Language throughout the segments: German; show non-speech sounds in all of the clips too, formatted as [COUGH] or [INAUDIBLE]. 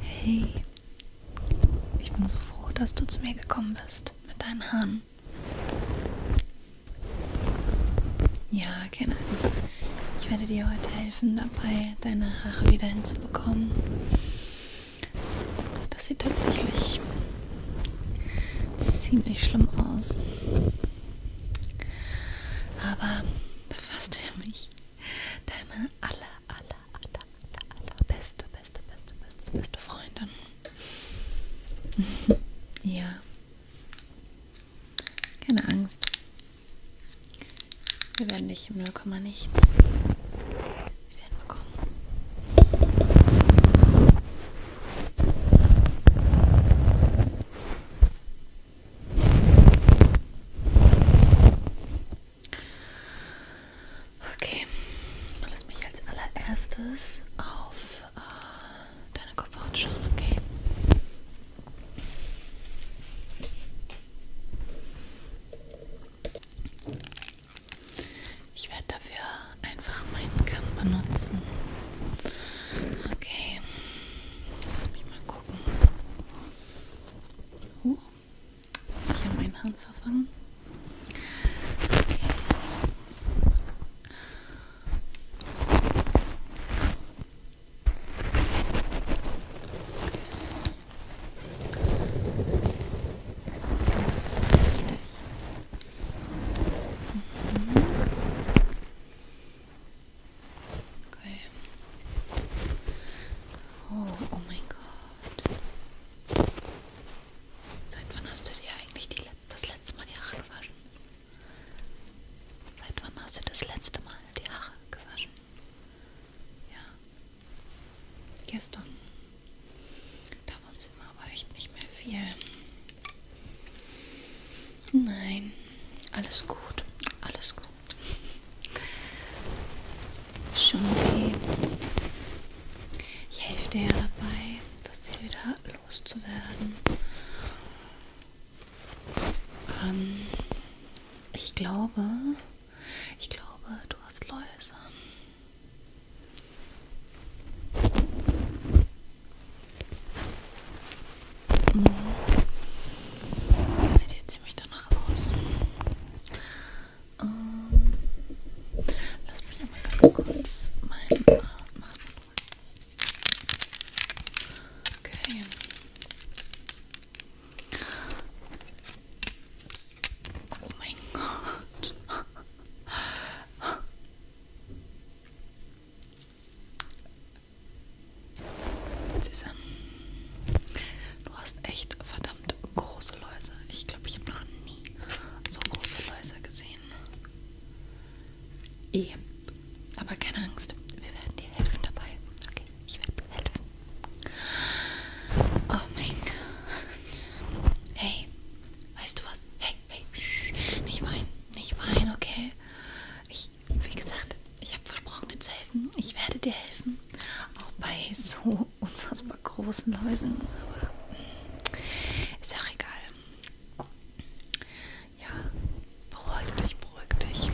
Hey, ich bin so froh, dass du zu mir gekommen bist mit deinen Haaren. Ja, keine Angst. Ich werde dir heute helfen dabei, deine Haare wieder hinzubekommen, das sieht tatsächlich ziemlich schlimm aus. Aber da fasst du ja mich. Deine aller, aller, aller, aller, aller beste, beste, beste, beste, beste Freundin. [LAUGHS] ja. Keine Angst. Wir werden dich im 0, nichts wieder hinbekommen. Okay, lass mich als allererstes auf äh, deine Kopfhaut schauen, okay? Ich werde dafür einfach meinen Kamm benutzen. Okay, lass mich mal gucken hoch. Das hat sich an meinen Haaren verfangen. Ganz mhm. Okay. Oh, oh mein Gott. Seit wann hast du dir eigentlich die, das letzte Mal die Haare gewaschen? Seit wann hast du das letzte Mal die Haare gewaschen? Ja. Gestern. Davon sind wir aber echt nicht mehr viel. Nein. Alles gut. Alles gut. Schon okay. Ich helfe dir ja dabei, das Ziel wieder loszuwerden. Ähm, ich glaube, ich glaube, du hast Läuse. Das sieht hier ziemlich danach aus. Ähm, lass mich einmal ganz kurz meinen äh, Maßband holen. Okay. Oh mein Gott. Süße. Du hast echt verdammt große Läuse. Ich glaube, ich habe noch nie so große Läuse gesehen. Eh. Aber keine Angst, wir werden dir helfen dabei. Okay, ich werde helfen. Oh mein Gott. Hey, weißt du was? Hey, hey, shh. nicht weinen, nicht weinen, okay? Ich, wie gesagt, ich habe versprochen, dir zu helfen. Ich werde dir helfen. Auch bei so [LAUGHS] unfassbar großen Läusen. Aber ist auch egal. Ja, beruhig dich, beruhig dich.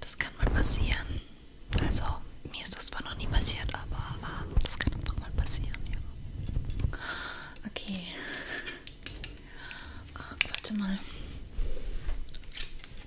Das kann mal passieren. Also, mir ist das zwar noch nie passiert, aber, aber äh, das kann einfach mal passieren, ja. Okay. Ah, warte mal.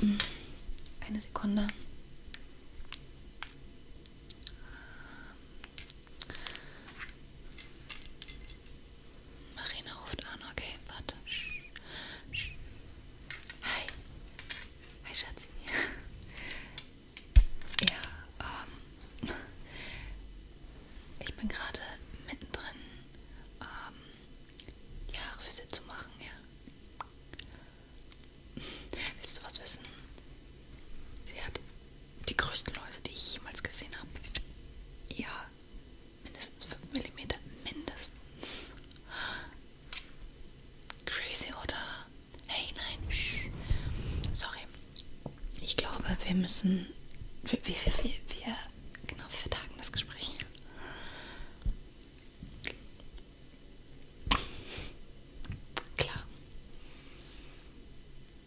Hm. Eine Sekunde. Marina ruft an, okay, warte. Sch, sch. Hi. Hi, Schatzi. [LAUGHS] ja, ähm. Ich bin gerade mittendrin ähm, die Haare für sie zu machen, ja. Willst du was wissen? Sie hat die größten Läuse, die ich jemals gesehen habe. Ja, mindestens 5 mm. Mindestens. Crazy, oder? Hey, nein. Shh. Sorry. Ich glaube, wir müssen. Wir, wir, wir, wir, genau, wir vertagen das Gespräch. Klar.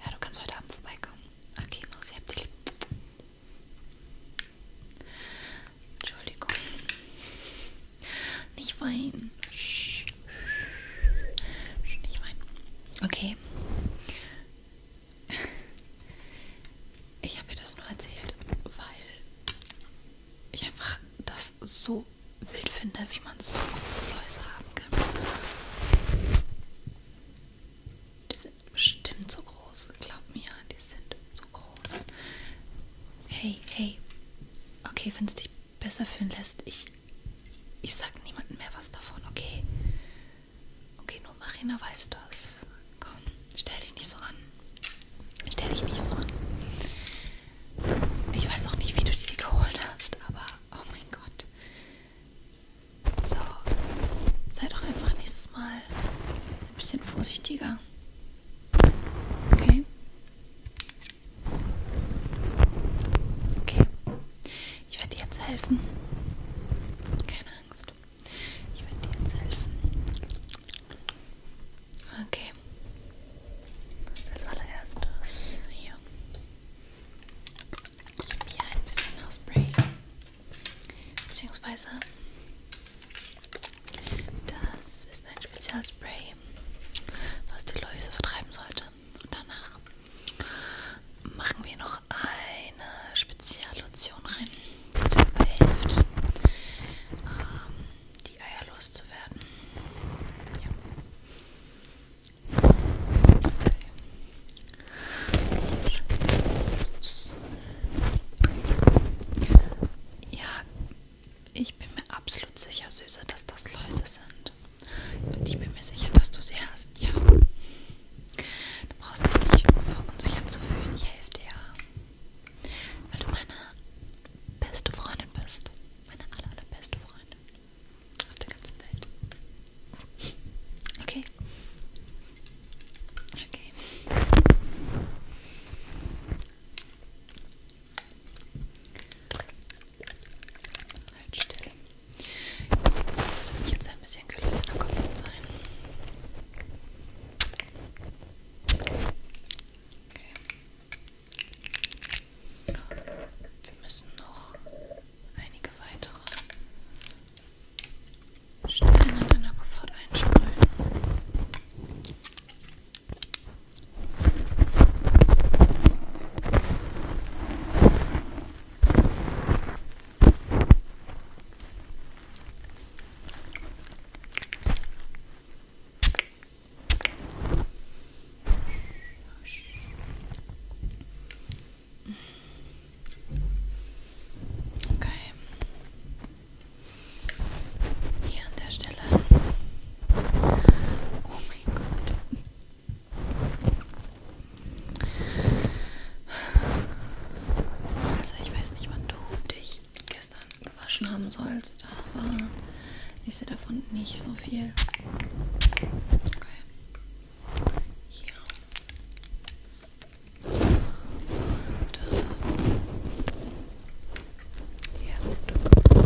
Ja, du kannst heute Abend vorbeikommen. Okay, Maus, ich hab dich lieb. Entschuldigung. Nicht weinen. Nicht weinen. Okay. Ich habe ihr das nur erzählt, weil ich einfach das so wild finde, wie man so große Läuse haben kann. Die sind bestimmt so groß, glaub mir, die sind so groß. Hey, hey, okay, wenn es dich besser fühlen lässt, ich, ich sag niemandem mehr was davon, okay? Okay, nur Marina weiß das. Komm, stell dich nicht so an. Stell dich nicht so an. Ich weiß auch nicht, wie du dir die geholt hast, aber oh mein Gott. So, sei doch einfach nächstes Mal ein bisschen vorsichtiger. Okay. Okay. Ich werde dir jetzt helfen. Keine Angst. Ich werde dir jetzt helfen. Okay. Als allererstes hier. Ich habe hier ein bisschen Haarspray. Beziehungsweise das ist ein Spezialspray, was die Läuse vertreiben sollte. Und danach machen wir noch eine Speziallotion rein dabei hilft, ähm, die Eier loszuwerden. Ja. Okay. ja, ich bin mir absolut sicher, Süße, dass das Läuse sind. Und ich bin mir sicher, dass du sie hast, ja. Du brauchst dich nicht verunsichert zu fühlen. Ich helfe dir ja. Weil du meine beste Freundin bist. Meine aller, allerbeste Freundin. Auf der ganzen Welt. Okay. Okay. Halt still. So, das würde ich jetzt ein bisschen kühler in der Kopf sein. Okay. Wir müssen noch einige weitere Steine in deiner Kopfhaut einsprühen. Okay. Okay. Hier an der Stelle. Oh mein Gott. Also ich weiß nicht, wann du dich gestern gewaschen haben sollst, aber ich sehe davon nicht so viel. Okay. Hier. Und, äh, hier das ist so, so.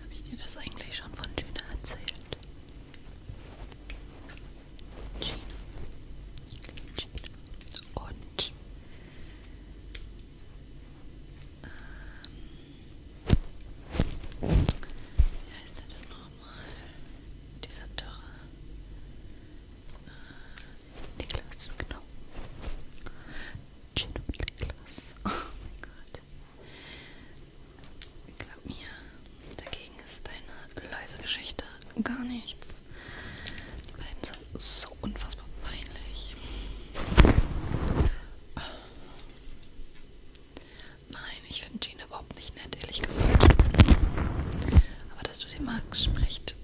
Habe ich dir das eigentlich schon von Gina erzählt? Gina. Gina. Und ähm, wie heißt der denn nochmal? Dieser Dörre. Äh, Niklas, genau. Gin und Niklas. [LAUGHS] Oh mein Gott. Glaub mir, dagegen ist deine leise Geschichte gar nichts. Die beiden so unfassbar peinlich. Nein, ich finde Gina überhaupt nicht nett, ehrlich gesagt. Aber dass du sie magst, spricht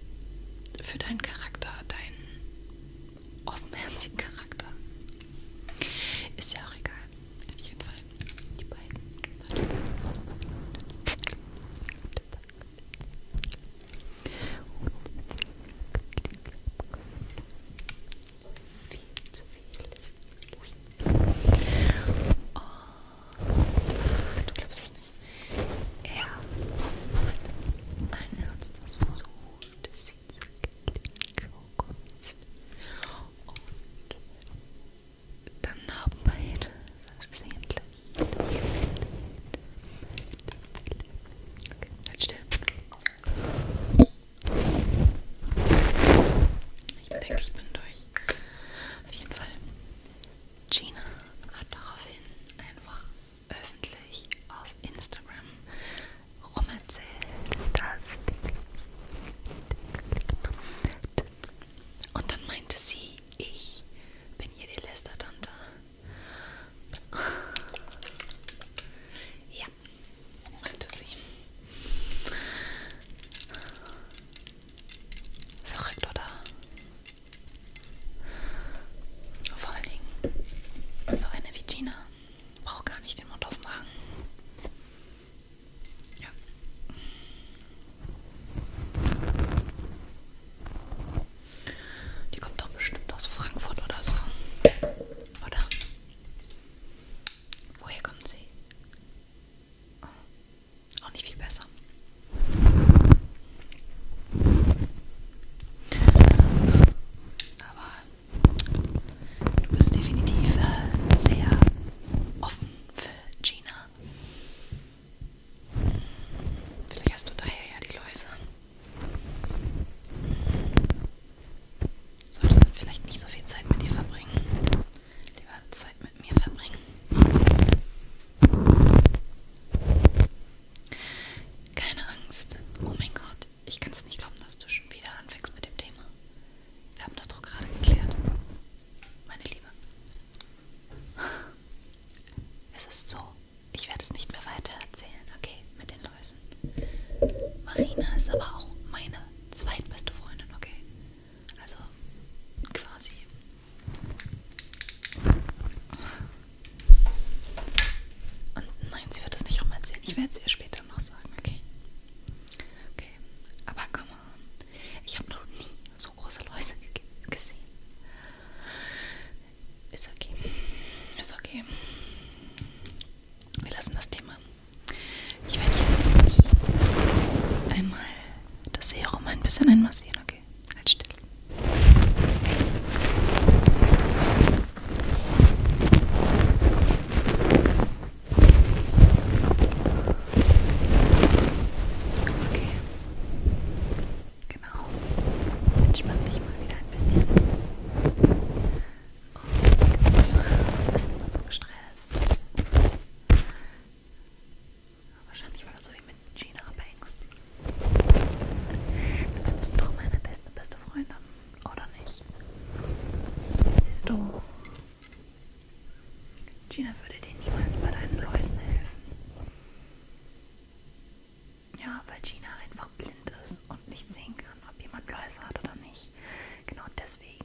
für deinen Charakter, deinen offenherzigen Charakter. Ist ja auch egal. Auf jeden Fall. Die beiden. Warte viel zu viel ist. Oh, du glaubst es nicht. Er ein Herz, das versucht, sie zu Kokos. Und dann haben beide versehentlich das Bild. Okay, halt still. Ich denke, ich bin durch. Auf jeden Fall. Gina hat daraufhin einfach öffentlich auf Instagram rumerzählt, dass... Und dann meinte sie, ich bin hier die Lästertante. Ja, hatte sie. Verrückt, oder? Vor allen Dingen, so eine wie Gina braucht gar nicht den Mund aufmachen. Ja. Die kommt doch bestimmt aus Frankfurt oder so. Oder? Woher kommt sie? Oh. Auch nicht viel besser. Aber du bist definitiv äh, sehr offen für Gina. Vielleicht hast du daher ja die Läuse. Solltest dann vielleicht nicht so viel Zeit mit dir verbringen. Lieber Zeit mit mir verbringen. Keine Angst. Oh mein Gott, ich kann es nicht glauben, dass du schon wieder anfängst mit dem Thema. Wir haben das doch gerade geklärt. Meine Liebe. Es ist so, ich werde es nicht mehr weiter erzählen, okay, mit den Läusen. Marina ist aber auch meine zweitbeste Freundin, okay? Also quasi. Und nein, sie wird es nicht rum erzählen. Ich werde es ihr später noch sagen, okay? Okay, aber come on. Ich habe noch nie so große Läuse gesehen. Ist okay. Ist okay. Wir lassen das Thema. Ich werde jetzt einmal das Serum ein bisschen einmassieren, okay? Halt still. Okay. Genau. Entspann dich mal wieder ein bisschen. Und oh, du bist immer so gestresst. Wahrscheinlich, weil du so wie mit Gina abhängst. Dabei bist du doch meine beste, beste Freundin. Oder nicht? Siehst du, Gina würde dir niemals bei deinen Läusen helfen. Ja, weil Gina einfach blind ist und nicht sehen kann, ob jemand Läuse hat oder nicht. Genau deswegen.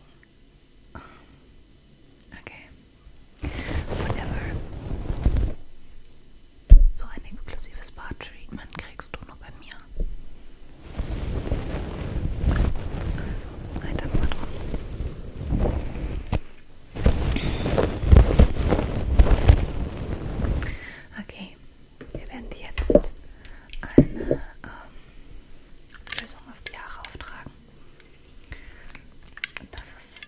Okay. Whatever. So ein exklusives Bar-Treatment kriegst du nur bei mir. Also, sei dankbar drum. Okay, Okay, wir werden dir jetzt eine ähm, Lösung auf die Haare auftragen. Und das ist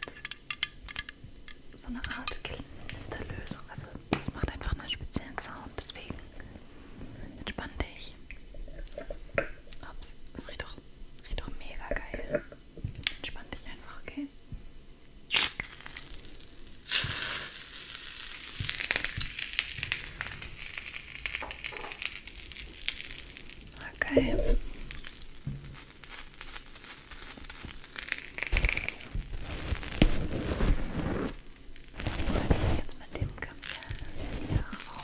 so eine Art Klinster-Lösung. Also das macht einfach einen speziellen Sound, deswegen entspann dich. Ups, das riecht doch, riecht doch mega geil. Entspann dich einfach, okay? Okay. Soll ich jetzt mit dem Kamel hier rauf?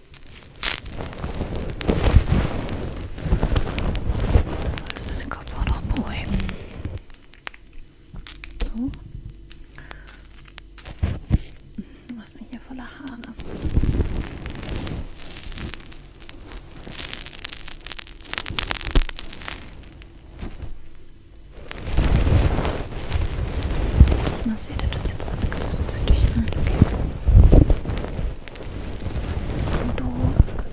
Sollte meine Kopfhaut noch beruhigen. So. Was mhm, mir hier voller Haare. Ich mal, seht ihr das jetzt alle ganz vorsichtig an? Hm, okay. Und du,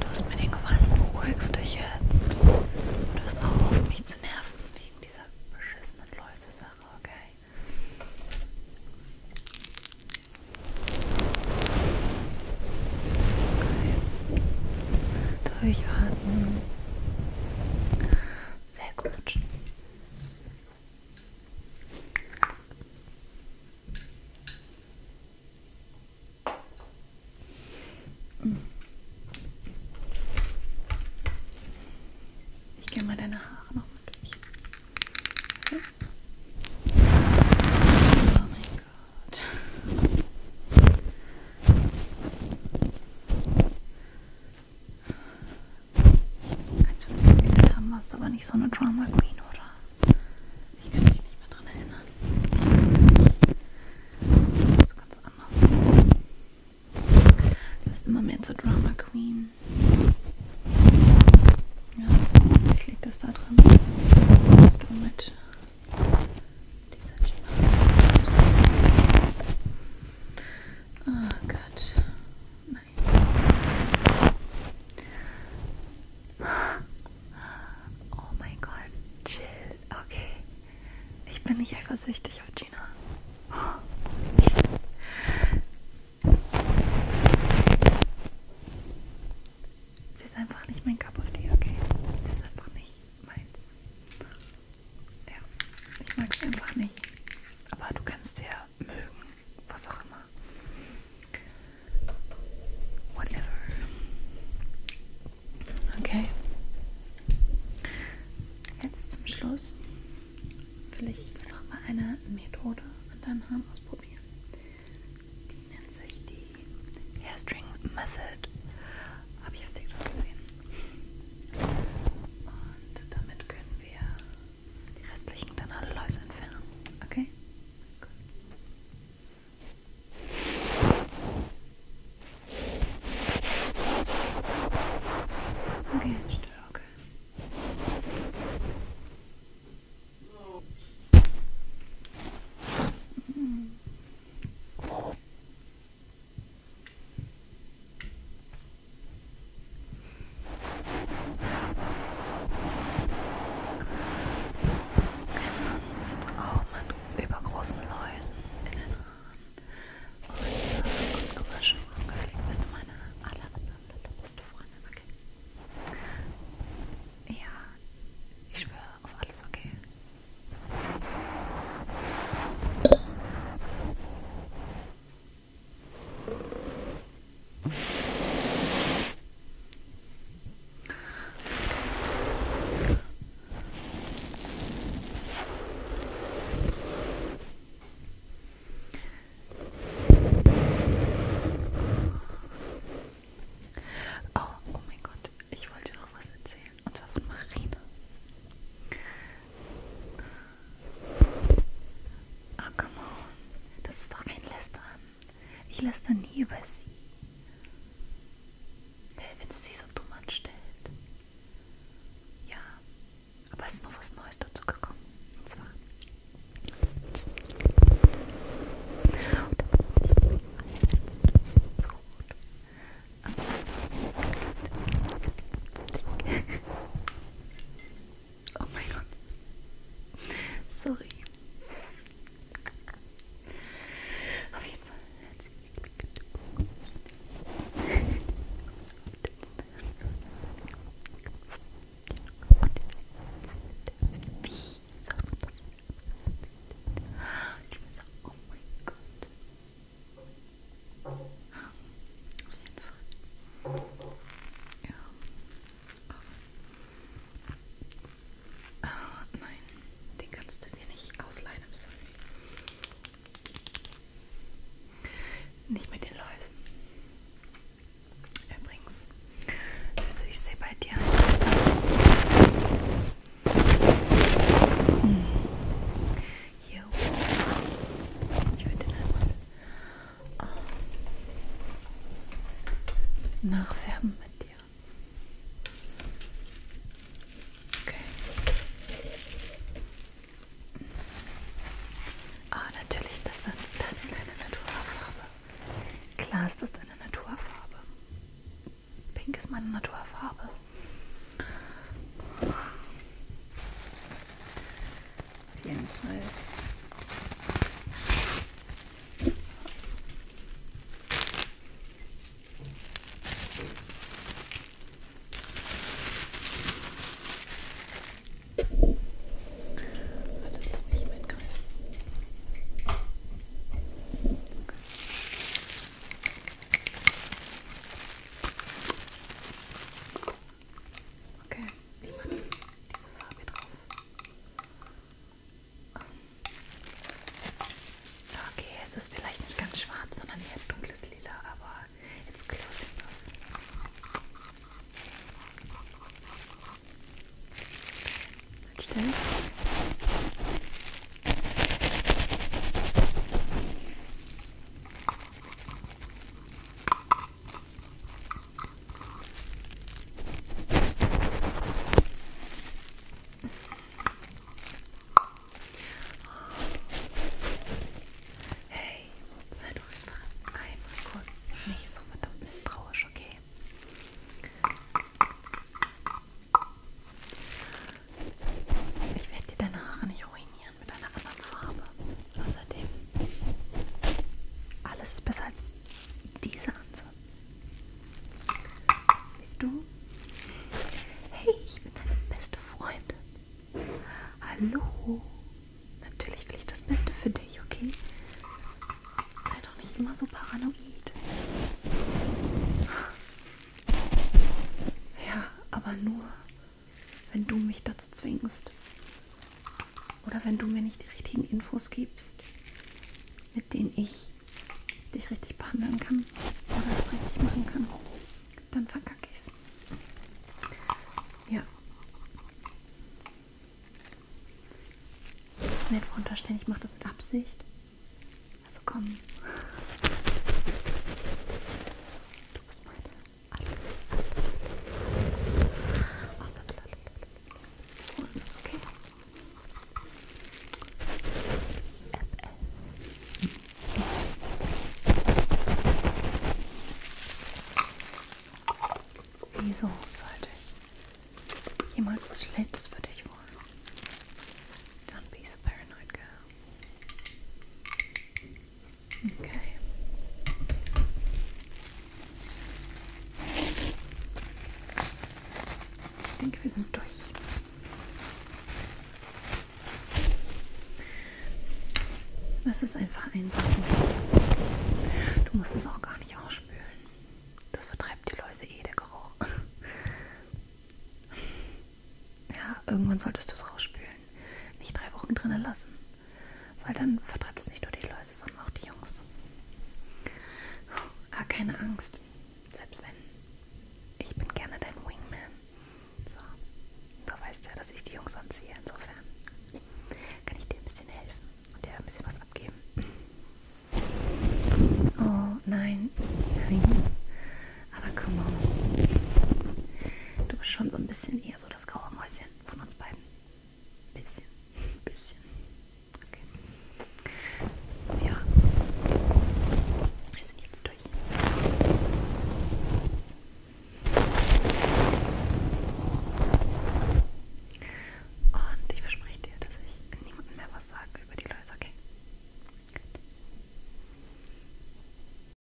du hast mir den Gefallen, beruhigst dich jetzt. Du hast auch auf mich zu nerven wegen dieser beschissenen Läuse-Sache, okay? Okay. Durchatmen. Sehr gut. Ich gehe mal deine Haare nochmal durch. Okay. Oh mein Gott. Als wir uns kennengelernt haben, warst du aber nicht so eine Drama Queen, oder? Ich kann mich nicht mehr dran erinnern. Ich warst du ganz anders. Du bist immer mehr zur Drama Queen. Ja, ich liegt das da drin, dass du mit dieser Gina. Oh Gott. Nein, Oh mein Gott, chill. Okay. Ich bin nicht eifersüchtig auf Gina. Sie ist einfach nicht mein Cup of Tea, okay? Sie ist einfach nicht meins. Ja, ich mag sie einfach nicht. Aber du kannst ja mögen, was auch immer. Whatever. Okay. Jetzt zum Schluss will ich jetzt noch mal eine Methode an deinen Haaren ausprobieren. Die nennt sich die Hairstring Method. Habe ich auf TikTok gesehen. Und damit können wir die restlichen dann alle Läuse entfernen. Okay? Gut. Okay, jetzt still, okay. Mhm. Kannst auch mit übergroßen Läusen in den Haaren und gewaschen äh, und gelegt. Bist du meine alle anderen bist du Freundin, okay? Ja, ich schwöre auf alles, okay? Oh, oh mein Gott, ich wollte noch was erzählen, und zwar von Marina. Ach, come on. Das ist doch kein Lästern. Ich lästere nie über sie. Wenn sie sich so dumm anstellt. Ja, aber es ist noch was Neues dazu gekommen. Und zwar. Oh mein Gott. Sorry. Auf jeden Fall. Wie soll man das? Oh mein Gott. Auf jeden Fall. Ja. Aber. Ah, oh nein. Den kannst du mir nicht ausleihen, sorry. Nicht mit den Läusen. Übrigens. Also ich sehe bei dir hm. Hier oben. Ich würde den einmal nachfärben mit dir. Okay. Ah, oh, natürlich, das, das ist deine Naturfarbe. Klar ist das deine Naturfarbe. Pink ist meine Naturfarbe. Auf jeden Fall. Ups. Warte, lass mich mitgreifen. Okay. Okay, ich mache diese Farbe drauf. Ähm, okay, es ist vielleicht nicht ganz schwarz, sondern eher dunkles Lila, aber it's close enough. Halt still. Hey, sei doch einfach einmal kurz nicht so verdammt misstrauisch, okay? Ich werde dir deine Haare nicht ruinieren kombinieren mit einer anderen Farbe. Außerdem, alles ist besser als dieser Ansatz. Siehst du? Hey, ich bin deine beste Freundin. Hallo. Natürlich will ich das Beste für dich, okay? Sei doch nicht immer so paranoid. Ja, aber nur wenn du mich dazu zwingst. Oder wenn du mir nicht die richtigen Infos gibst, mit denen ich dich richtig behandeln kann oder das richtig machen kann, dann verkacke ich's. Ja. Das mir jetzt unterstellen, ich mache das mit Absicht. Also komm. Du bist meine Okay. Wieso sollte ich jemals was Schlechtes für dich wollen? Don't be so paranoid, girl. Okay. Ich denke, wir sind durch. Das ist einfach einpacken. Du musst es auch gar nicht ausspülen. Das vertreibt die Läuse eh, der Geruch. Ja, irgendwann solltest du es rausspülen. Stellen nicht drei Wochen drinnen lassen. Weil dann vertreibt es nicht nur die Läuse, sondern auch die Jungs. Ah, keine Angst. Selbst wenn. Ich bin gerne dein Wingman. So. Du weißt ja, dass ich die Jungs anziehe. Insofern kann ich dir ein bisschen helfen und dir ein bisschen was abgeben. Oh, nein. Nein. Aber komm on. Du bist schon so ein bisschen eher so so das graue Mäuschen von uns beiden? Bisschen, [LAUGHS] bisschen. Okay. Ja. Wir sind jetzt durch. Und ich verspreche dir, dass ich niemandem mehr was sage über die Läuse, okay?